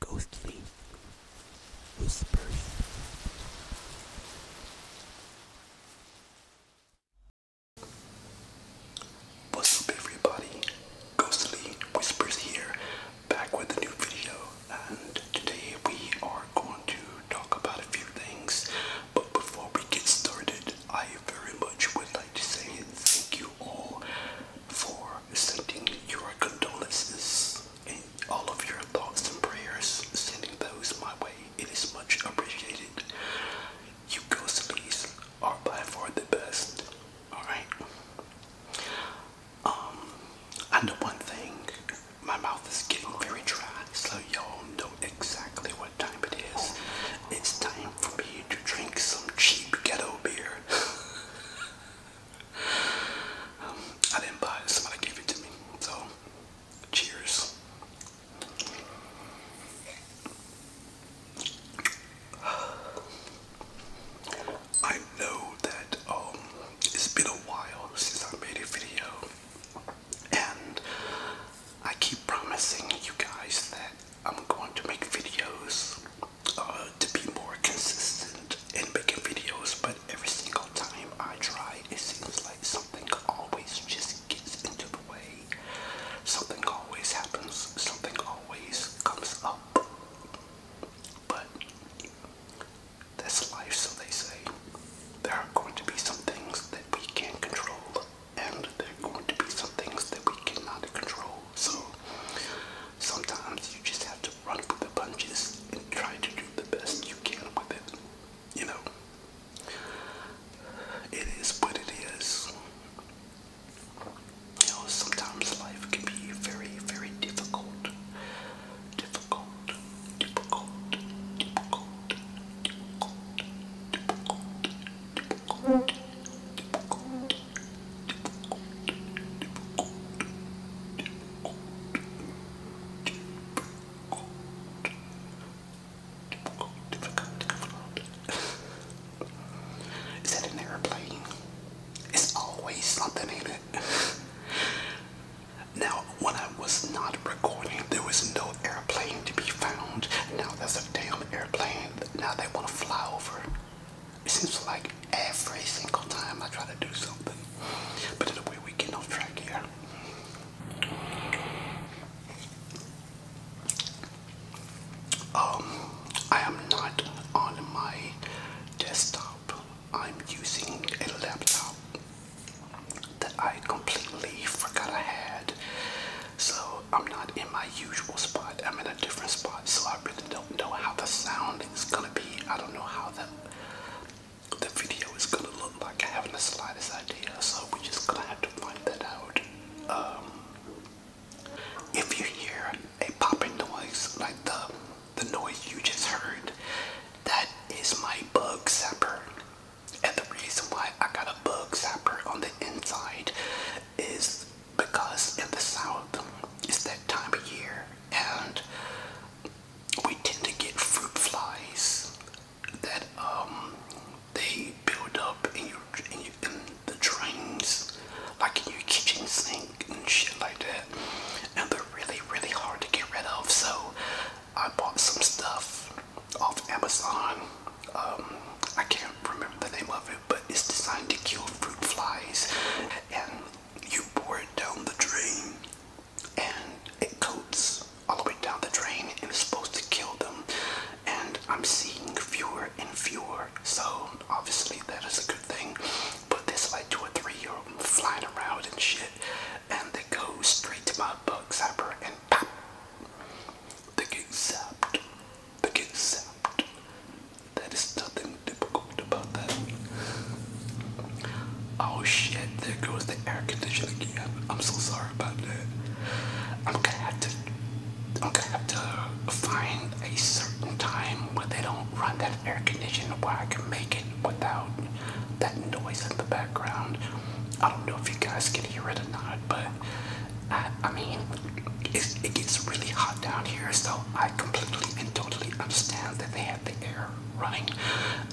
Ghostly whispers. What's up everybody? Ghostly Whispers here, back with a new video, and today we are going to talk about a few things. But before we get started, I very much would like to say thank you all for sending your condolences and all of your thoughts and prayers, sending those my way. It is much appreciated. You guys, ghostlies are by far the best. Alright? Um, I know one thing. My mouth is getting very dry, so y'all know exactly what time it is. It's time for me to drink some cheap ghetto beer. I didn't buy it, somebody gave it to me. So, cheers. I know that um, it's been a while since I made a video, and I keep promising you guys that I'm going to make videos uh, to be more consistent in making videos, but every single time I try, it seems like something always just gets into the way. Something always happens, something always comes up. But that's life, so they say. There are going to be some things that we can control, and there are going to be some things that we cannot control. So sometimes you just have to run with the punches and try to do the best you can with it. You know, it is what it is. You know, sometimes life can be very, very Difficult, difficult, difficult, difficult, difficult, difficult, difficult, is that an airplane? It's always something, ain't it? Now, when I was not recording, there was no airplane to be found. Now there's a damn airplane, now they want to fly over. It seems like every single time I try to do something. But in a way, we get off track here. Um, I am not on my desktop. I'm using a laptop that I completely forgot I had. So I'm not in my usual spot. I'm in a different spot, so I really don't know how the sound is gonna be. I don't know how the the video is gonna look like. I haven't the slightest idea, so we're just gonna have to find that out. Um, if you hear a popping noise like the the noise you just heard, that is my bug zapper. And the reason why I got a bug zapper on the inside is because in the south it's that time of year and we tend to get fruit flies that um, they build up in your, in your in the drains, like in your kitchen sink and shit like that, and they're really really hard to get rid of. So I bought some stuff off Amazon um, I can't remember the name of it, but it's designed to kill fruit flies. And you pour it down the drain, and it coats all the way down the drain, and it's supposed to kill them. And I'm seeing fewer and fewer, so obviously that is a good thing. But this light, two or three year old flying around and shit, and they go straight to my bug zapper and pop. They get zapped. They get zapped. That is nothing difficult about that. Oh shit, there goes the air conditioning again. I'm so sorry about that. I'm gonna have to I'm gonna have to find a certain time where they don't run that air conditioner where I can make it without that noise in the background. I don't know if you guys can hear it or not, but I, mean, it gets really hot down here, so I completely and totally understand that they have the air running.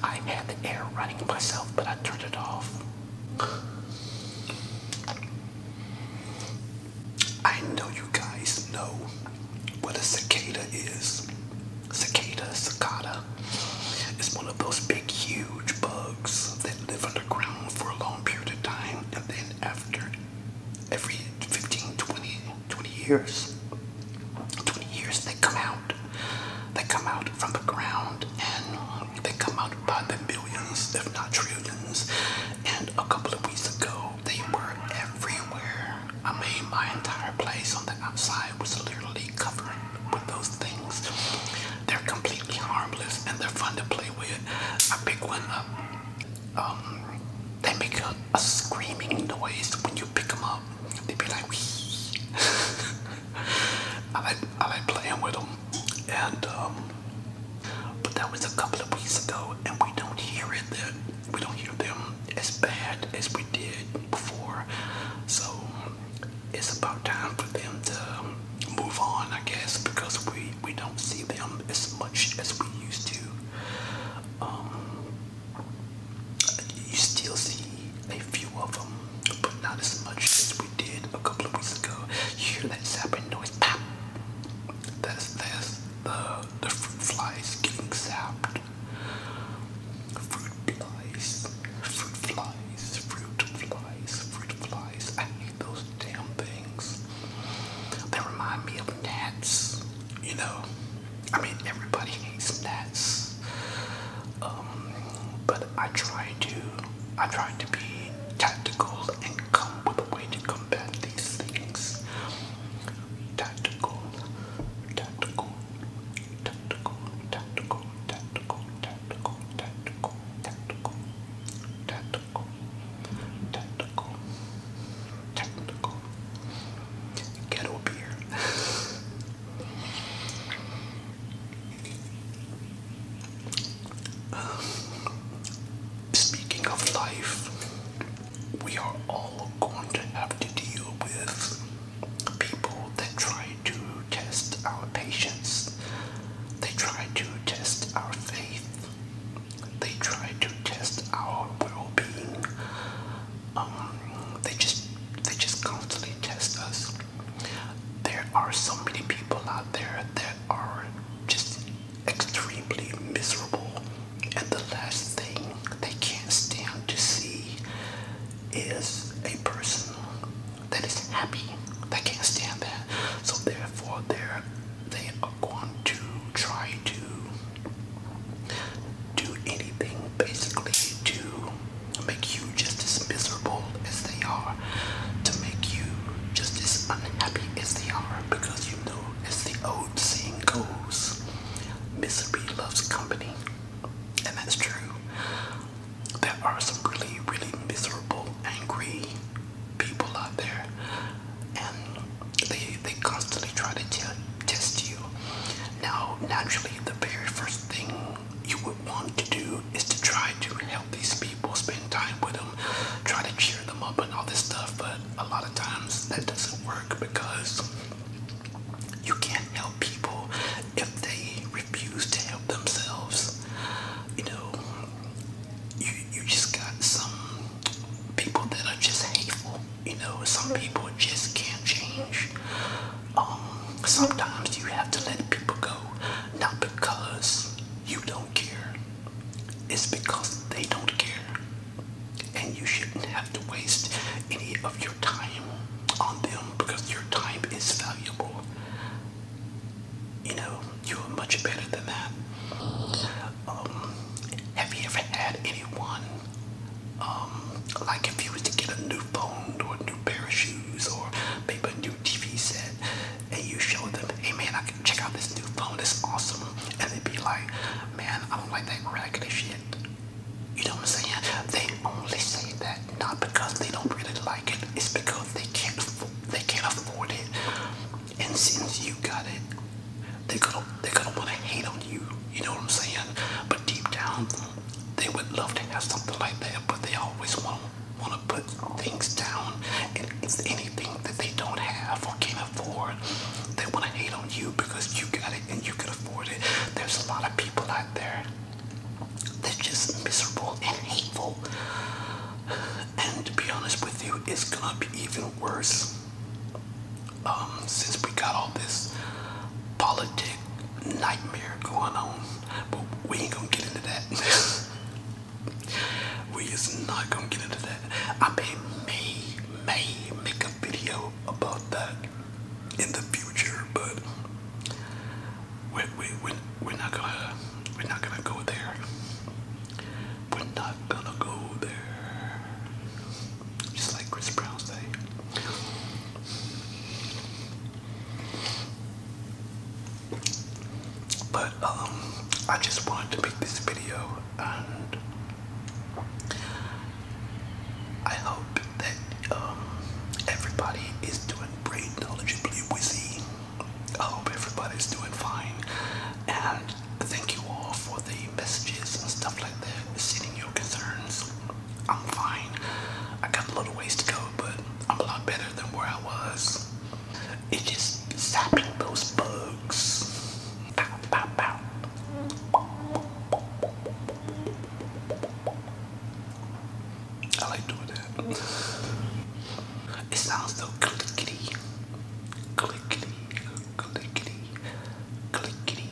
I had the air running myself, but I turned it off. I know you guys know what a cicada is. Cicada, cicada, it's one of those big, huge bugs that live underground for a long period of time, and then after every 15, 20, 20 years, 20 years, they come out. They come out from the ground, and they come out by the millions, if not trillions. And a couple of weeks ago, they were everywhere. I mean, my entire place on the outside sky was literally covered with those things. They're completely harmless and they're fun to play with. I pick one up. Um, they make a, screaming noise when you pick them up. They be like, wee. I, like, I like playing with them. And, um, but that was a couple of weeks ago and we don't hear it. That we don't hear them as bad as we did before. So it's about time for them to move on, I guess, because we we don't see them as much as we used to. Um, you still see a few of them, but not as much as we did a couple of weeks ago. hear that sapping noise? Pop. That's that's the the fruit flies getting sapped. Fruit flies, fruit flies, fruit flies, fruit flies. I hate those damn things. They remind me of gnats, you know. I mean, everybody hates gnats. Um, but I try to, I try to be tactical and come with a way to combat these things. Tactical, tactical, tactical, tactical, tactical, tactical, tactical, tactical, tactical, tactical, ghetto beer. speaking of life, we are all going to have to deal with people that try to test our patience, they try to test our faith, they try to test our well-being. Um, they just they just constantly test us. There are so many people out there that are just extremely miserable, and the last thing they can't stand to see is a person that is happy. that can't stand that. So therefore they're they are going to try to do anything basically to make you just as miserable as they are, to make you just as unhappy as they are, because you know, as the old saying goes, misery loves company and that's true. There are some really, really miserable, angry people out there, and they they constantly try to test you. Now, naturally, the very first thing you would want to do is to try to help these people, spend time with them, try to cheer them up, and all this stuff. But a lot of times that doesn't work because you can't help people if they refuse to help themselves. You know, you you just got some people that are just hateful. You know, some people just can't change. Um, sometimes you have to let people go, not because you don't care. It's because they don't care and you shouldn't have to waste any of your time on them because your time is valuable. You know, you are much better than that. Um, have you ever had anyone, um, like if you was to get a new phone or new pair of shoes or maybe a new TV set, and you show them, hey man, I can check out this new phone, it's awesome, and they'd be like, man, I don't like that raggedy shit. You know what I'm saying? They only say that not because they don't really like it. It's because they can't they can't afford it. And since you got it, they're gonna they're gonna want to hate on you. You know what I'm saying? But deep down, they would love to have something like that, but they always want want to put things down. And it's anything that they don't have or can't afford. They want to hate on you because you got it and you can afford it. There's a lot of people out there that's just miserable and hateful. And to be honest with you, it's gonna be even worse um, since we got all this politic nightmare going on. But we ain't gonna get into that. we is not gonna get into that. I mean, me may make a video about that in the future, but we we we we're not gonna we're not gonna go there. We're not gonna go there. Just like Chris Brown say. But um I just wanted to make this video and I hope that um, everybody is doing great knowledgeably wizzy. I hope everybody's doing fine. And thank you all for the messages and stuff like that, sending your concerns. I'm fine. I got a lot of ways to go, but I'm a lot better than where I was. It's just stopping those bugs. Bow, bow, bow. I like doing that. It sounds so clickety, clickety, clickety, clickety,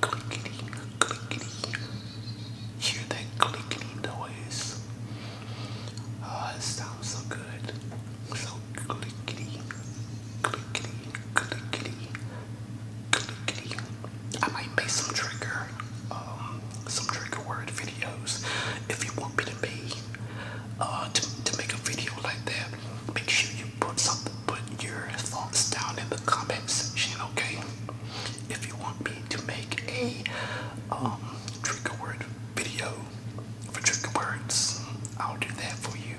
clickety, clickety. Hear that clickety noise. Oh, it sounds so good. So clickety, clickety, clickety, clickety. I might make some trigger, um, some trigger word videos. If you want me to be, uh, to, to make a video like that, make sure you put something, put your thoughts down in the comment section, okay? If you want me to make a um, trigger word video for trigger words. I'll do that for you.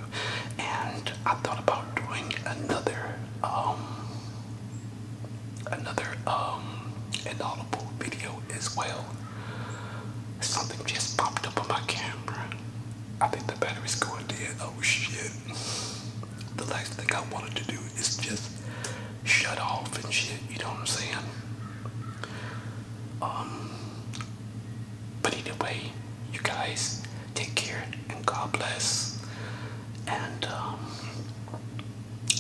And I thought about doing another um, another um inaudible video as well. Something just popped up on my camera. I think the battery's going dead. Oh shit. The last thing I wanted to do is just shut off and shit, you know what I'm saying? Um, but either way, you guys take care and God bless. And um,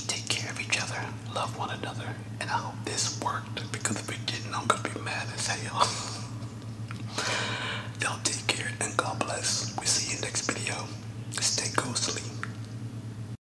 take care of each other, love one another. And I hope this worked because if it didn't, I'm going to be mad as hell. Y'all take care and God bless. we will see you next video. Stay ghostly.